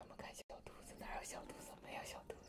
我们看小兔子，哪有小兔子？没有小兔子。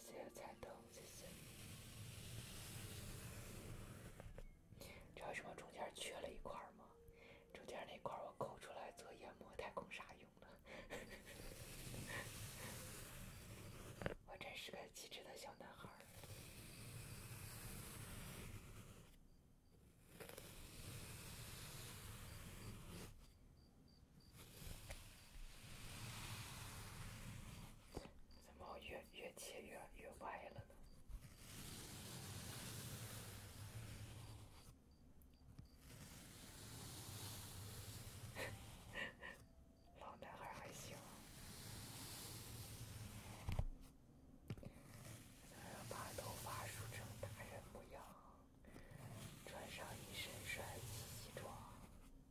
谢谢彩灯，谢谢。知道什么中间缺了一块吗？中间那块我抠出来做研磨太空沙用的。我真是个机智的小男孩。怎么越越切越越歪了呢？老男孩还行，要把头发梳成大人模样，穿上一身帅气西装。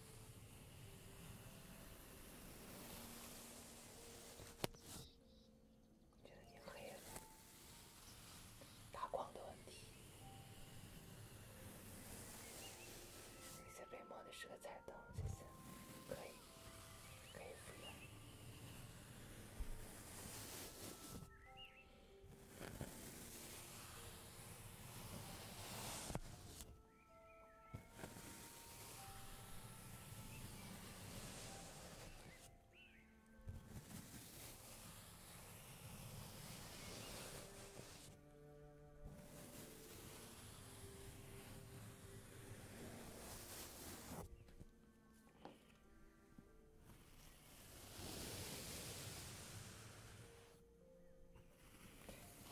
觉得你可以打光的问题，一些微末的色彩灯这些可以可以敷用。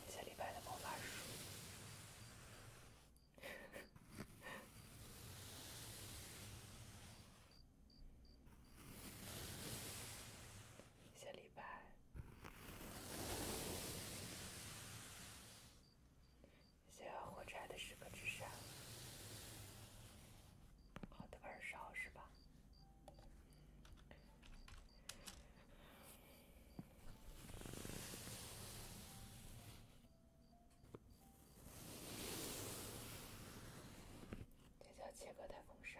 写李白的魔法书。小李白，想要火柴的时刻之上，好的二烧是吧？这叫切割太空沙。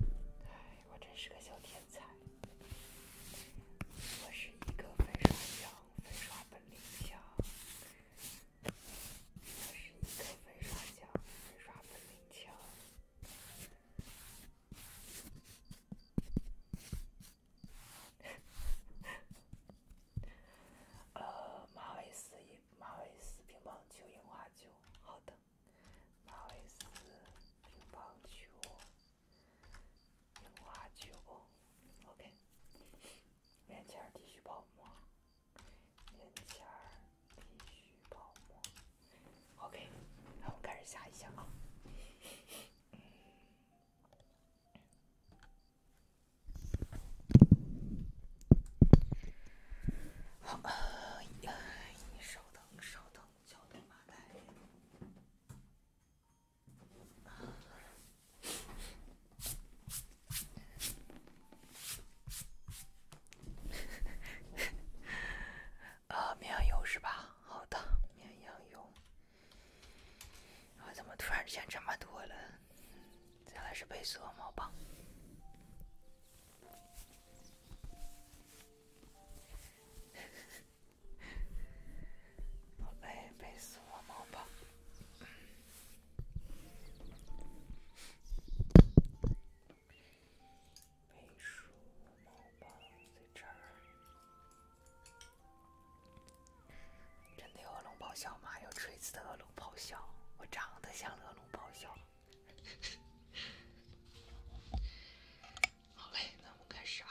哎，我真是个小天才！我是一个粉刷匠，粉刷本领强。我是一个粉刷匠，粉刷本领强。呃，马尾丝影，马尾丝乒乓球，羽毛球。好的。马维斯，乒乓球，羽毛球，OK。面前继续泡沫，面前继续泡沫，OK。那我们开始下一箱。好，你稍等，稍等。小头袋，啊，绵羊油是吧？好的，绵羊油，怎么突然之间这么多了？原来是被锁毛棒。来背数五毛吧。背数五毛吧，在这儿。真的有恶龙咆哮吗？有锤子的恶龙咆哮？我长得像恶龙咆哮？好嘞，那我们开始啊。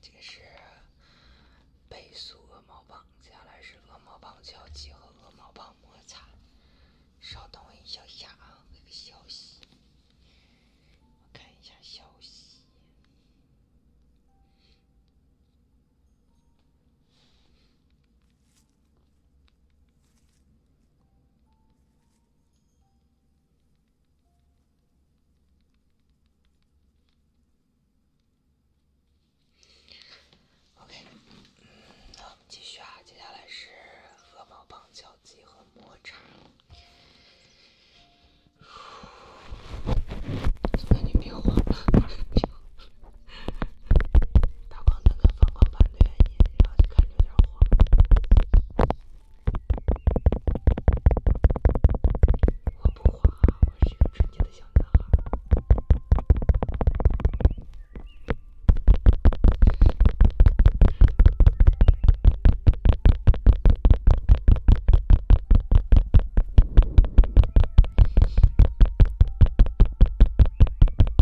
这个是背素鹅毛棒，接下来是鹅毛棒敲击和鹅毛棒摩擦。稍等我一下啊，回个消息，我看一下消息。OK，嗯，那我们继续啊，接下来是鹅毛棒胶鸡和抹茶。美女别慌，别慌。打光灯跟放光盘对，你最好就看着点我。我不黄啊，我是一个纯洁的小男孩。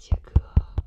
切 割。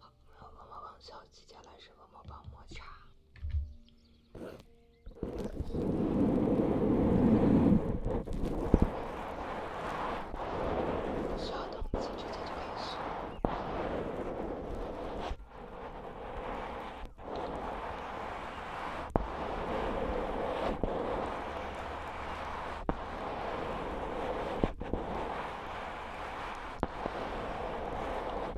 好，我们帮王小姐，接下来是我们帮抹茶。稍等，我们紧接着就开始。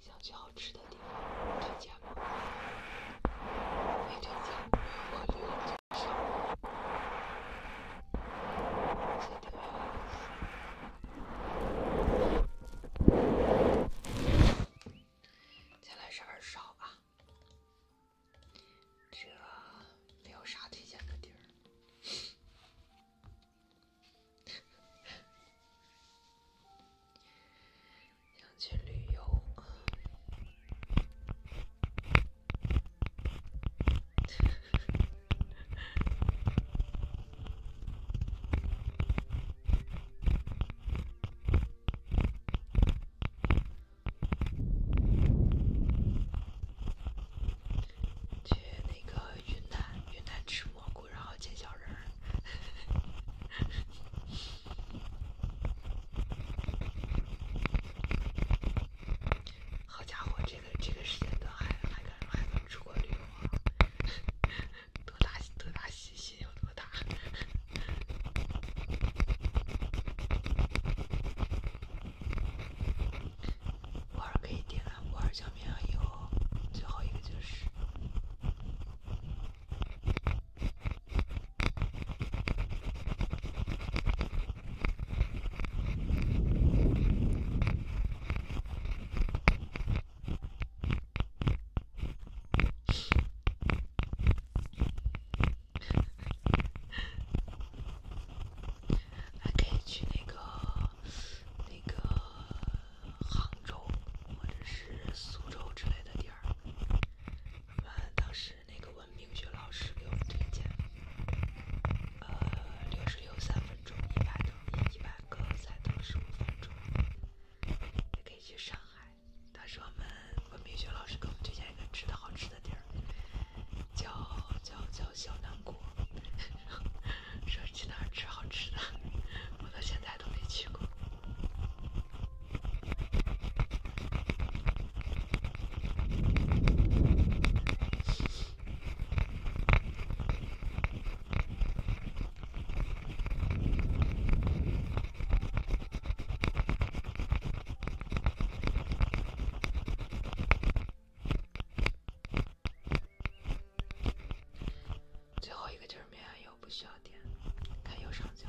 想去好吃的地方，推荐吗？没推荐，我留着吃。再来是二少啊。这没有啥推荐的地儿，想去旅游。去那个云南，云南吃蘑菇，然后建小人儿。好家伙，这个这个时间段还还敢还敢出国旅游啊？多大多大信心有多大？五二可以点了，五二江面上有，最后一个就是。还可以去那个、那个杭州或者是苏州之类的地儿。我们当时那个文明学老师给我们推荐，呃，六十六三分钟一百个，一百个才到十五分钟。也可以去上海，当时我们文明学老师给我们推荐一个吃的好吃的。地儿叫叫叫小南国，说去哪儿吃好吃的，我到现在都没去过。最后一个就是灭暗游，不需要点，看右上角。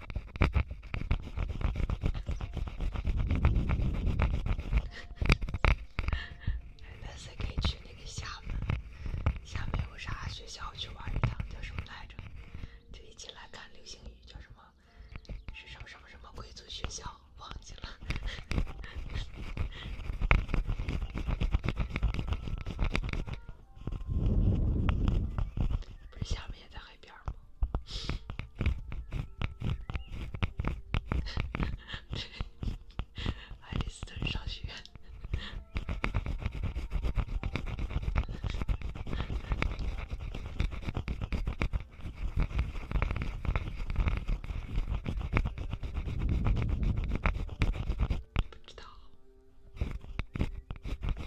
那谁给穿的下子？下面有啥学校去玩儿的？叫什么来着？这一进来看流星雨叫什么？是什什么什么贵族学校？忘记了。不是下面的。那边吗？爱丽丝在上学，不知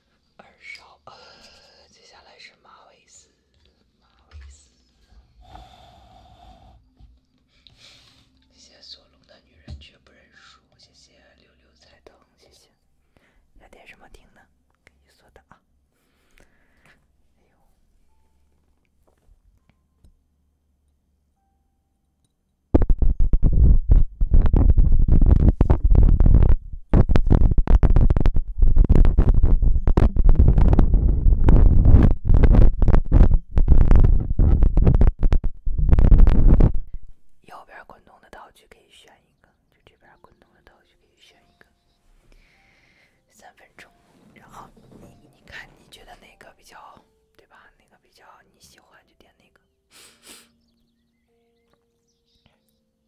二少，接下来是马维斯，马维斯。谢谢索隆的女人却不认输。谢谢六六彩灯。谢谢。要点什么听呢？给你说的啊。没有。右边滚动的道具可以选一个，就这边滚动的道具可以选一个，三分钟，然后你你看你觉得哪个比较，对吧？哪个比较你喜欢就点哪个。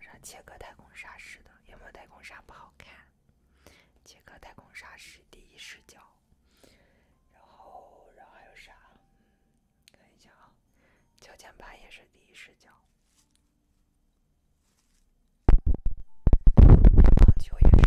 啥切割太空沙似的，有没有太空沙不好看。切割太空沙是第一视角，然后，然后还有啥？看一下啊，脚尖板也是第一视角，乒乓球也是。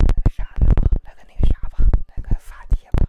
那个啥了吧，那个那个啥吧，那个发帖吧。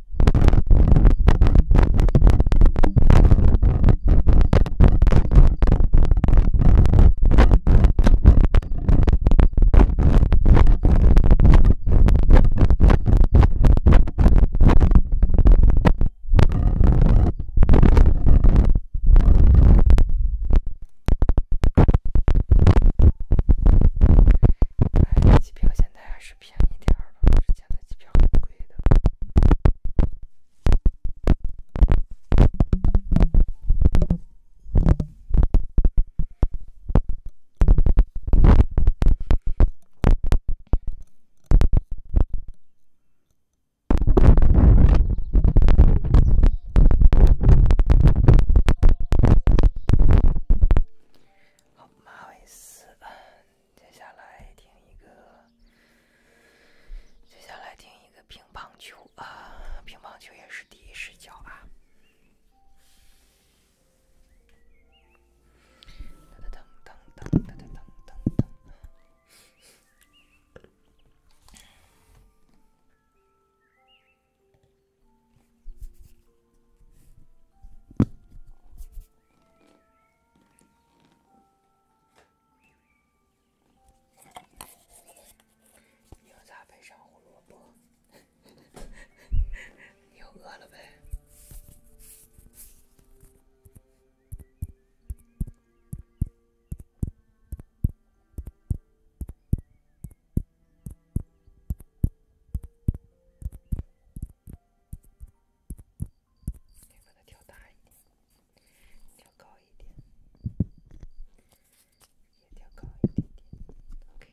他演技表现的还是。便宜点儿之前的机票很贵的。好，马尾丝。接下来听一个，接下来听一个乒乓球啊，乒乓球也是第一视角啊。牛杂配上胡萝卜，又饿了呗。得把它调大一点，调高一点，也调高一点点。OK。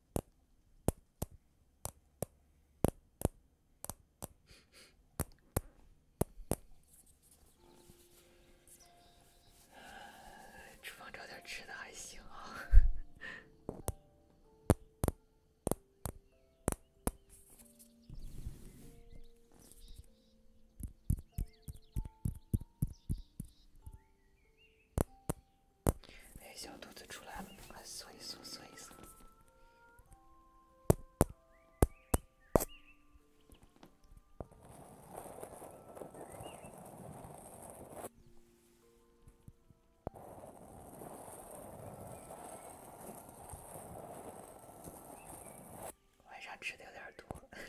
厨房找点吃的还行。哎，小肚子出来了，来缩一缩，缩一缩。晚上吃的有点多。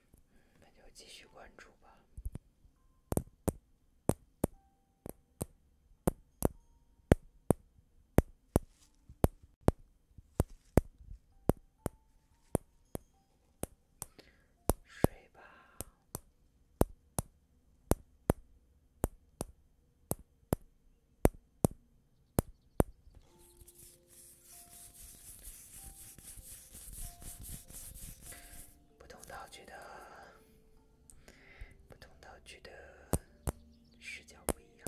那就继续关注吧，睡吧。不同道具的，不同道具的视角不一样。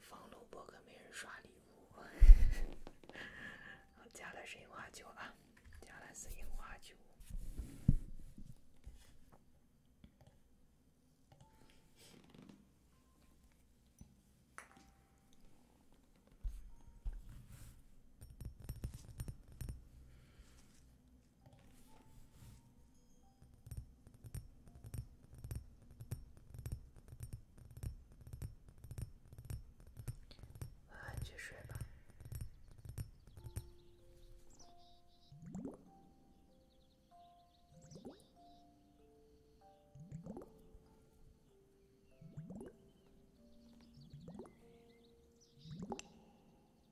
放录播可没人刷礼物，加了神话酒啊，加了来是樱花九。晚安，去睡吧。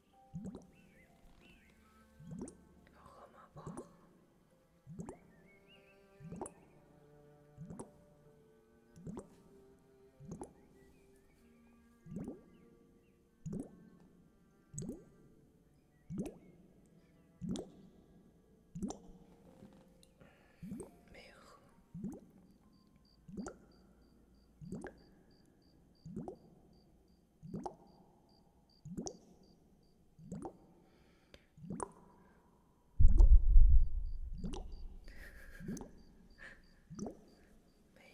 要喝吗？不喝。没喝。没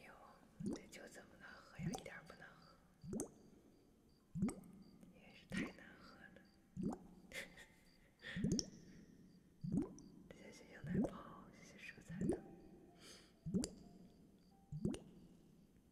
有，这酒怎么能喝呀？一点不能喝，真是太难喝了。这些牛奶泡，这些蔬菜汤。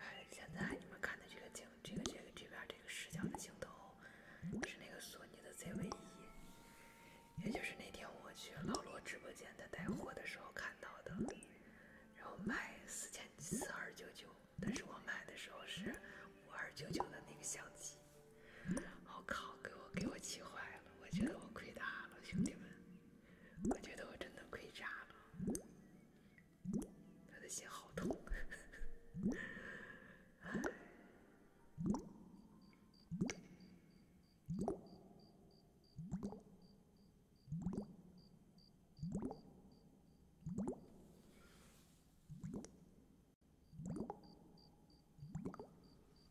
哎，现在你们看的这个镜，这个这个这边这个视角的镜头，是那个索尼的 ZV 一，也就是那天我去老罗直播间的带货的时候看到的，然后卖四千四二九九，但是我买的时候是五二九九的那个相机，我靠，给我给我气坏了，我觉得我亏大了，兄弟们。我觉得我真的亏炸了，他的心好痛，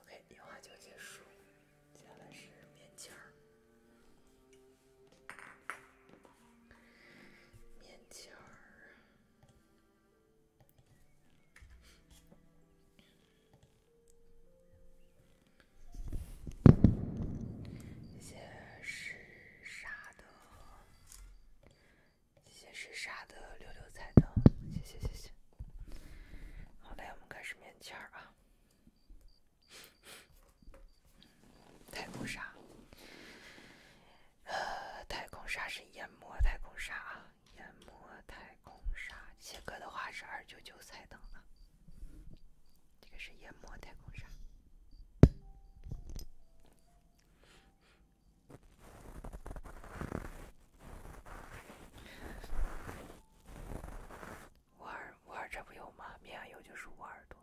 OK，电话就结束。接下来是棉签儿，签儿，接是。沙的，谢谢，是沙的六六彩灯，谢谢谢谢。好嘞，我们开始面签儿啊。太空沙，呃，太空沙是研磨太空沙啊，研磨太空沙切割的话是二九九彩灯了。这个是研磨太空沙。我耳我耳这不有吗？没有就是我耳朵。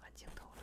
换镜头了。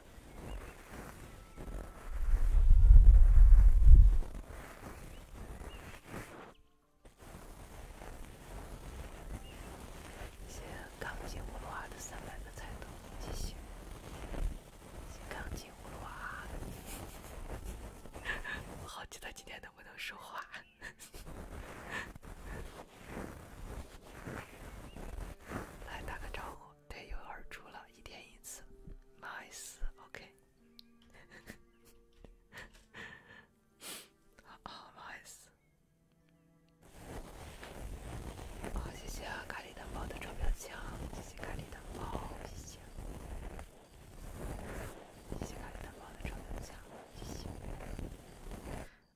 这钢筋葫芦娃的三百个彩头，继续。钢筋葫芦娃，好奇他今天能不能说话？来打个招呼。对，有耳珠了，一天一次，nice，OK，好不好意思。好，谢谢咖喱的宝的钞票枪，谢谢咖喱的宝，谢谢，谢谢咖喱的宝的钞票枪，谢谢。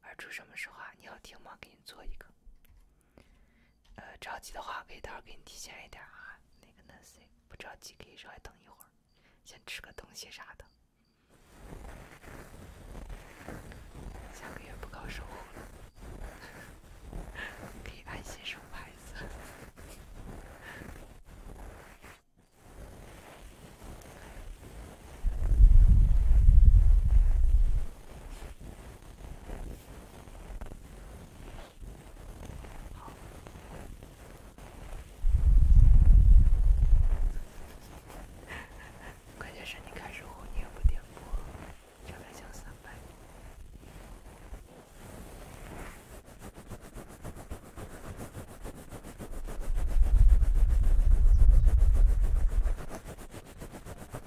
耳珠，什么时候啊？你要听吗？给你做一个。呃，着急的话可以到时候给你提前一点啊，那个那谁，不着急可以稍微等一会儿，先吃个东西啥的。下个月不搞售后了，可以安心生孩子。关键是，你开始后你也不点播，就来讲三百。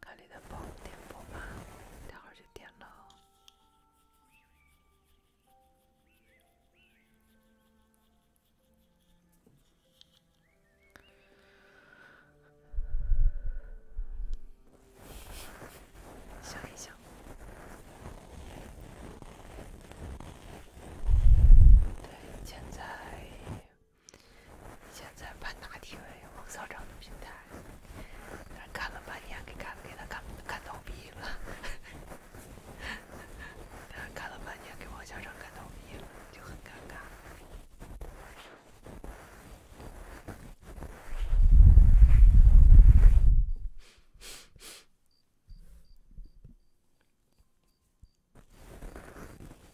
看你的包，点不满，待会儿就点了。想一想，对，现在。现在办大体为王校长的平台，但是干了半年，给干给他干干倒闭了。但是干了半年，给王校长干倒闭了，就很尴尬。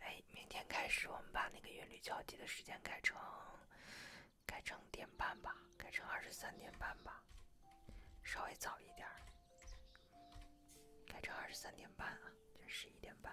哎，明天开始我们把那个韵律交际的时间改成改成点半吧，改成二十三点半吧，稍微早一点，改成二十三点半啊，就十一点半。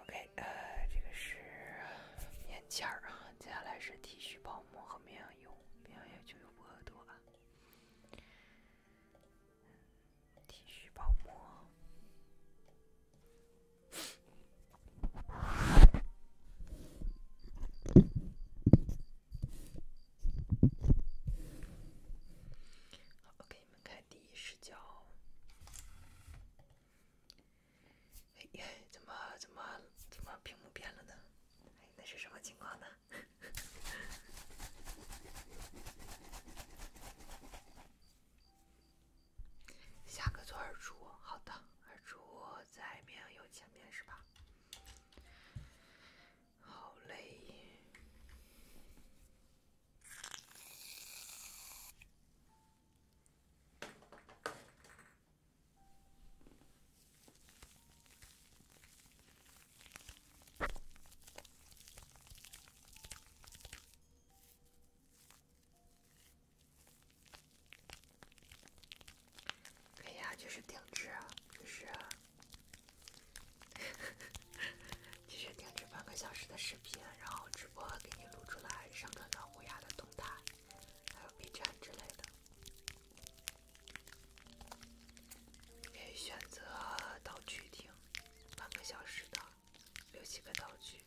OK，呃，这个是棉签儿啊，接下来是剃须泡沫和绵羊油，绵羊油就有我耳朵了，剃须泡沫。OK。你们看第一视角，哎呀，怎么怎么怎么屏幕变了呢？哎，那是什么情况呢？下个做二柱，好的，二柱在明有前面是吧？好嘞。哎呀，就是定制，啊，就是。就是定制半个小时的视频，然后直播给你录出来，上传到虎牙的动态，还有 B 站之类的。可以选择道具听，半个小时的，六七个道具。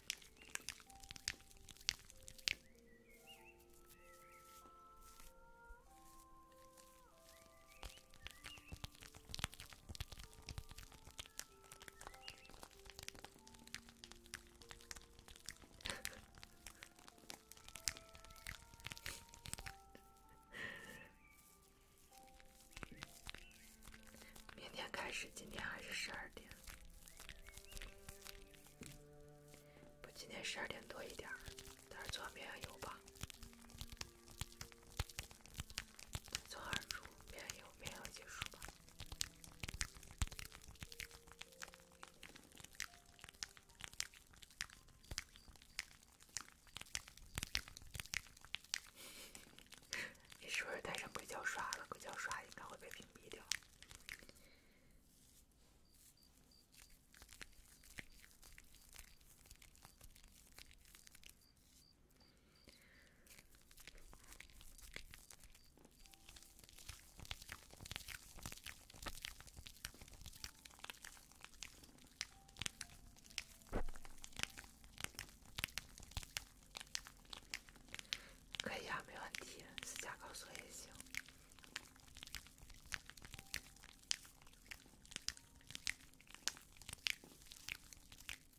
明天开始，今天还是十二点？不，今天十二点多一点。但是做面油吧，做耳珠面油，面油结束吧。你是不是带上硅胶刷了？硅胶刷应该会被屏蔽掉。可以啊，没问题，自驾高速也行。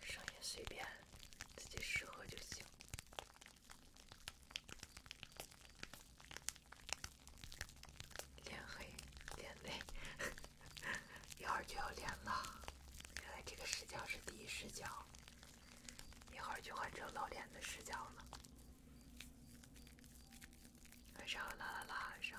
声音随便，自己适合就行。脸黑，脸黑，一会儿就要脸了。原来这个视角是第一视角，一会儿就换成老脸的视角了。晚上啦啦啦，晚上。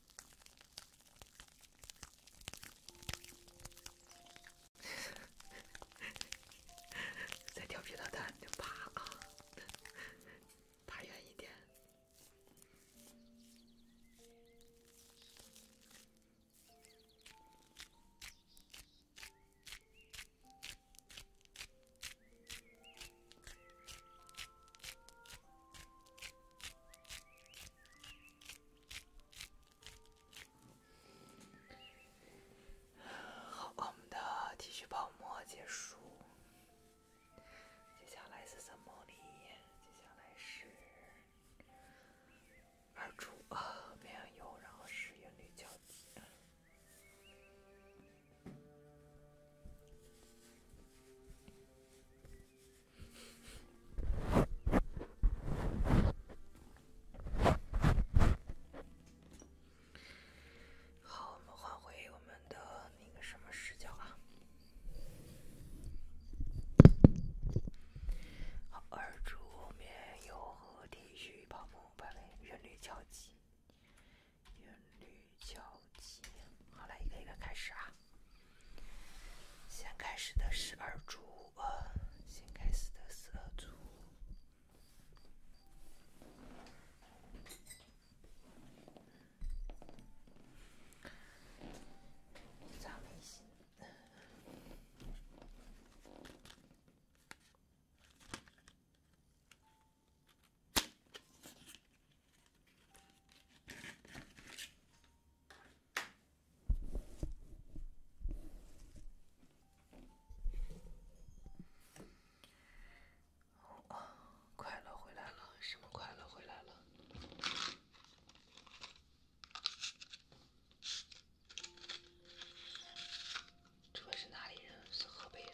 再调皮的蛋，就爬啊，爬远一点。好，我们的剃须泡沫结束，接下来是什么里，接下来是二主啊，边上油，然后是眼泪桥。好，我们换回我们的那个什么视角啊。二柱面和旋律交旋律交好，来一个一个开始啊。先开始的十二组，呃，先开始的十二组。啊！快乐回来了，什么快乐回来了？这位是哪里人？是河北人。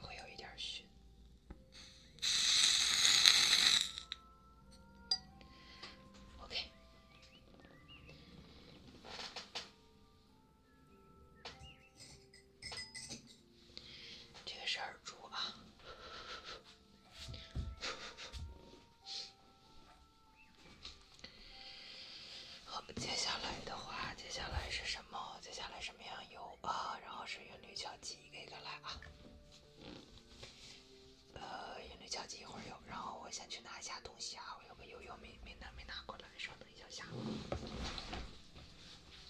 会有一点熏。OK。这个是耳珠啊。好，接下来的话，接下来是什么？接下来什么样有啊？然后是韵律交际，一个一个来啊。呃，韵律交际一会儿有，然后我先去拿一下东西啊。我有个悠悠没没拿，没拿过来，稍等一下下。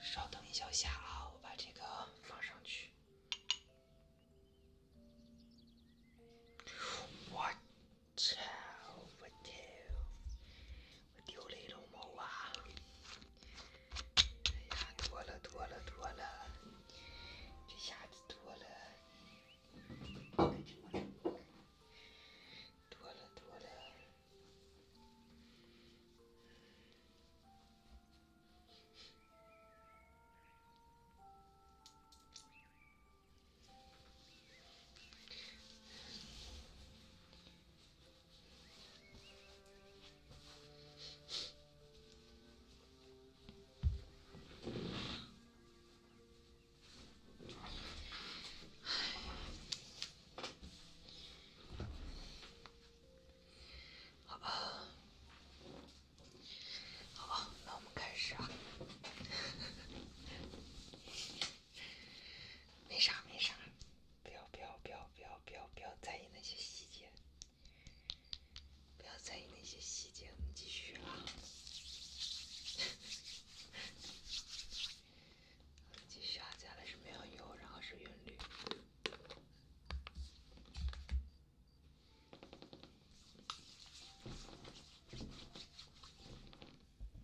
稍等一小下啊，我把这个放上去。我操！不屌。我丢了一笼猫啊！哎了多了多了，这下子多了，多了多了。好吧，好吧，那我们开始啊。没啥，没啥。不要不要不要不要不要不要在意那些细节，不要在意那些细节。我们继续啊，继续啊，加下是没有油，然后是韵律。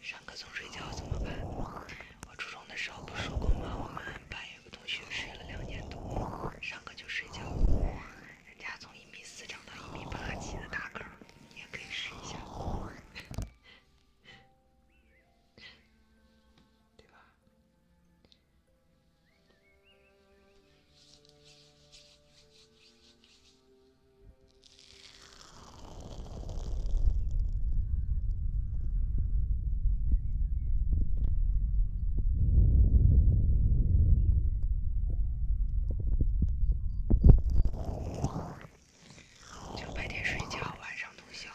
上课总睡觉怎么办？我初中的时候不说过吗？我们班有个同学睡了两年多，上课就睡觉，人家从一米四长到一米八几的大个，你也可以试一下。对吧？就白天睡觉，晚上通宵。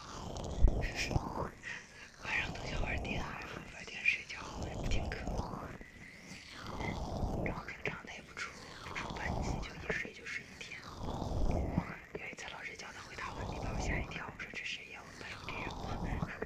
晚上通宵玩电脑，白天睡觉不听课。然后平常他也不住，一出班级就一睡就睡一天。有一次老师叫他回答问题，把我吓一跳，我说这谁呀？我是有病吧？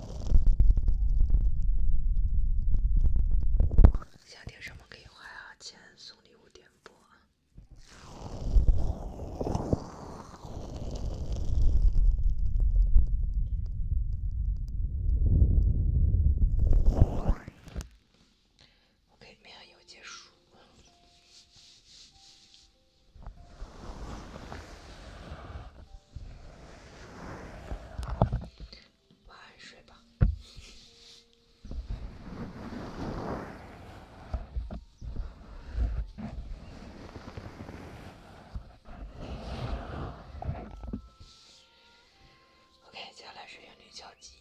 想听什么可以花呀钱送礼物点播？OK，马上要结束。晚安，睡吧。OK，接下来是英语交际。